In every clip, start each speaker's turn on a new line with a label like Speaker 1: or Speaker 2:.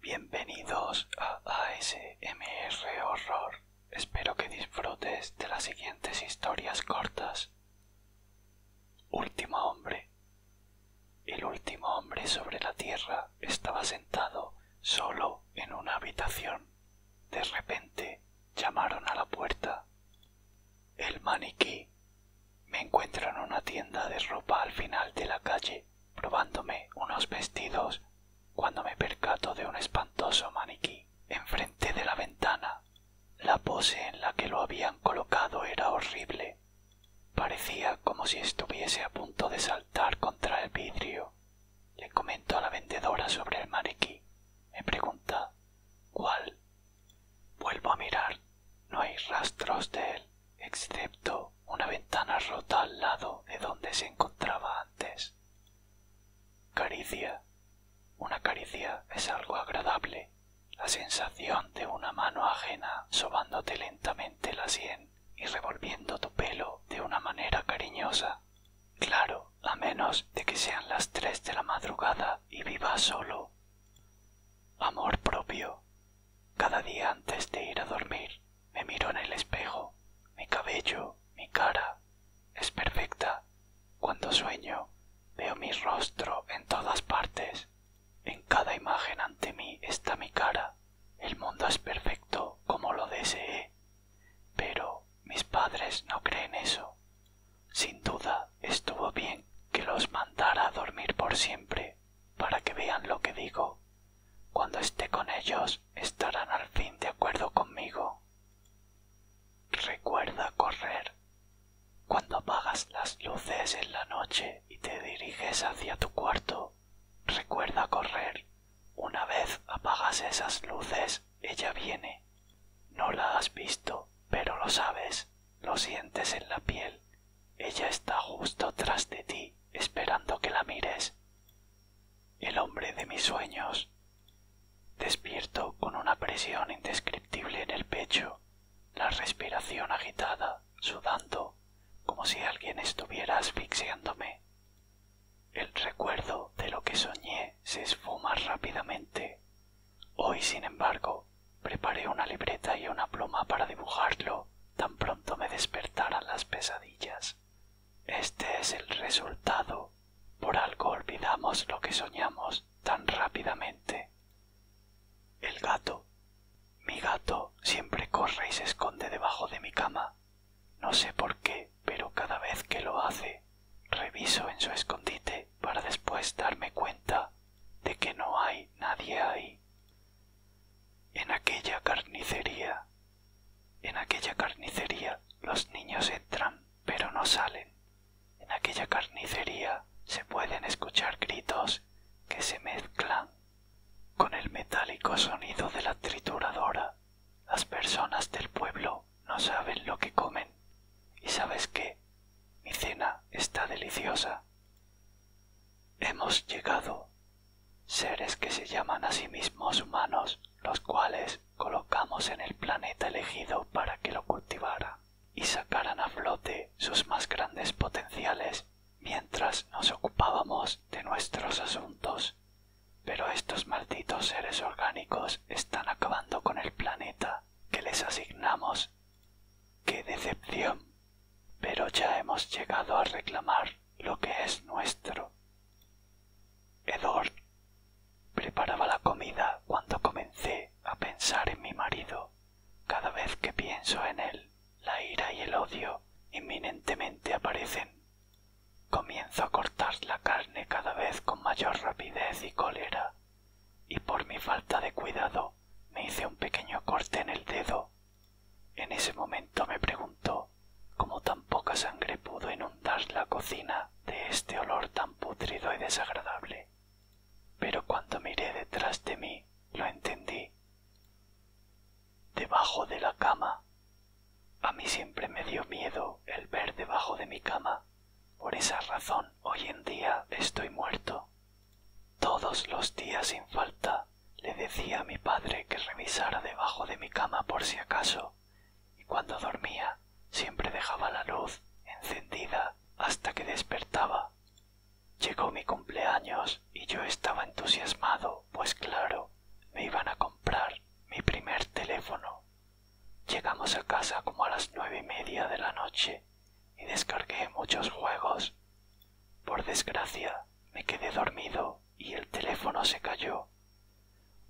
Speaker 1: Bienvenidos a ASMR Horror. Espero que disfrutes de las siguientes historias cortas. Último hombre. El último hombre sobre la tierra estaba sentado solo en una habitación. De repente Llamaron a la puerta. El maniquí. Me encuentro en una tienda de ropa al final de la calle, probándome unos vestidos, cuando me percato de un espantoso maniquí enfrente de la ventana. La pose en la que lo habían colocado era horrible. Parecía como si estuviese a punto de saltar contra el vidrio. Le comento a la vendedora sobre el maniquí. Me pregunta ¿Cuál? Vuelvo a mirar. No hay rastros de él, excepto una ventana rota al lado de donde se encontraba antes. Caricia. Una caricia es algo agradable. La sensación de una mano ajena sobándote lentamente la sien y revolviendo tu pelo de una manera cariñosa. Claro, a menos de que sean las tres de la madrugada y viva solo. Amor propio. Cada día antes de ir a dormir, me miro en el espejo. Mi cabello, mi cara, es perfecta. Cuando sueño, veo mi rostro en todas partes. En cada imagen ante mí está mi cara. El mundo es perfecto como lo deseé. Pero mis padres no creen eso. Sin duda estuvo bien que los mandara a dormir por siempre, para que vean lo que digo. Cuando esté con ellos estarán al fin de acuerdo conmigo. Recuerda correr. Cuando apagas las luces en la noche y te diriges hacia tu cuarto, recuerda correr una vez apagas esas luces, ella viene. No la has visto, pero lo sabes, lo sientes en la piel. Ella está justo tras de ti, esperando que la mires. El hombre de mis sueños. Despierto con una presión indescriptible en el pecho, la respiración agitada, sudando, como si alguien estuviera asfixiándome. El recuerdo de lo que soñé se esfuma rápidamente. Hoy, sin embargo, preparé una libreta y una pluma para dibujarlo tan pronto me despertaran las pesadillas. Este es el resultado. Por algo olvidamos lo que soñamos tan rápidamente. El gato mi gato siempre corre y se esconde debajo de mi cama. No sé por qué, pero cada vez que lo hace, reviso en su escondite para después darme cuenta de que no hay nadie ahí. En aquella carnicería, en aquella carnicería los niños entran pero no salen. En aquella carnicería se pueden escuchar gritos que se mezclan con el metálico sonido de la trituradora, las personas del pueblo no saben lo que comen. ¿Y sabes qué? Mi cena está deliciosa. Hemos llegado. Seres que se llaman a sí mismos humanos, los cuales colocamos en el planeta elegido para que lo cultivara. y sacaran a flote sus más grandes potenciales mientras nos ocupábamos de nuestros asuntos. Pero estos malditos seres orgánicos están acabando con el planeta que les asignamos. ¡Qué decepción! Pero ya hemos llegado a reclamar lo que es nuestro. Edor preparaba la comida cuando comencé a pensar en mi marido. Cada vez que pienso en él, la ira y el odio inminentemente aparecen. Comienzo a cortar la carne cada vez con mayor rapidez y cólera, y por mi falta de cuidado me hice un pequeño corte en el dedo. En ese momento me preguntó cómo tan poca sangre pudo inundar la cocina de este olor tan putrido y desagradable pero cuando miré detrás de mí lo entendí. Debajo de la cama. A mí siempre me dio miedo el ver debajo de mi cama. Por esa razón hoy en día estoy muerto. Todos los días sin falta le decía a mi padre que revisara debajo de mi cama por si acaso, y cuando dormía siempre dejaba la luz encendida hasta que despertaba. Llegó mi cumpleaños y yo estaba entusiasmado, pues claro, me iban a comprar mi primer teléfono. Llegamos a casa como a las nueve y media de la noche y descargué muchos juegos. Por desgracia, me quedé dormido y el teléfono se cayó.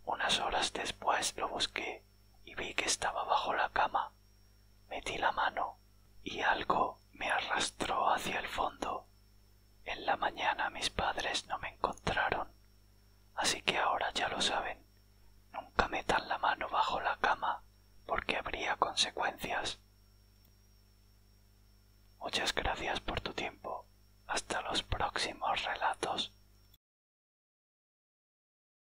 Speaker 1: Unas horas después lo busqué y vi que estaba bajo la cama. Metí la mano y algo me arrastró hacia el fondo. En la mañana mis padres no me encontraron, así que ahora ya lo saben. Nunca metan la mano bajo la cama porque habría consecuencias. Muchas gracias por tu tiempo. Hasta los próximos relatos.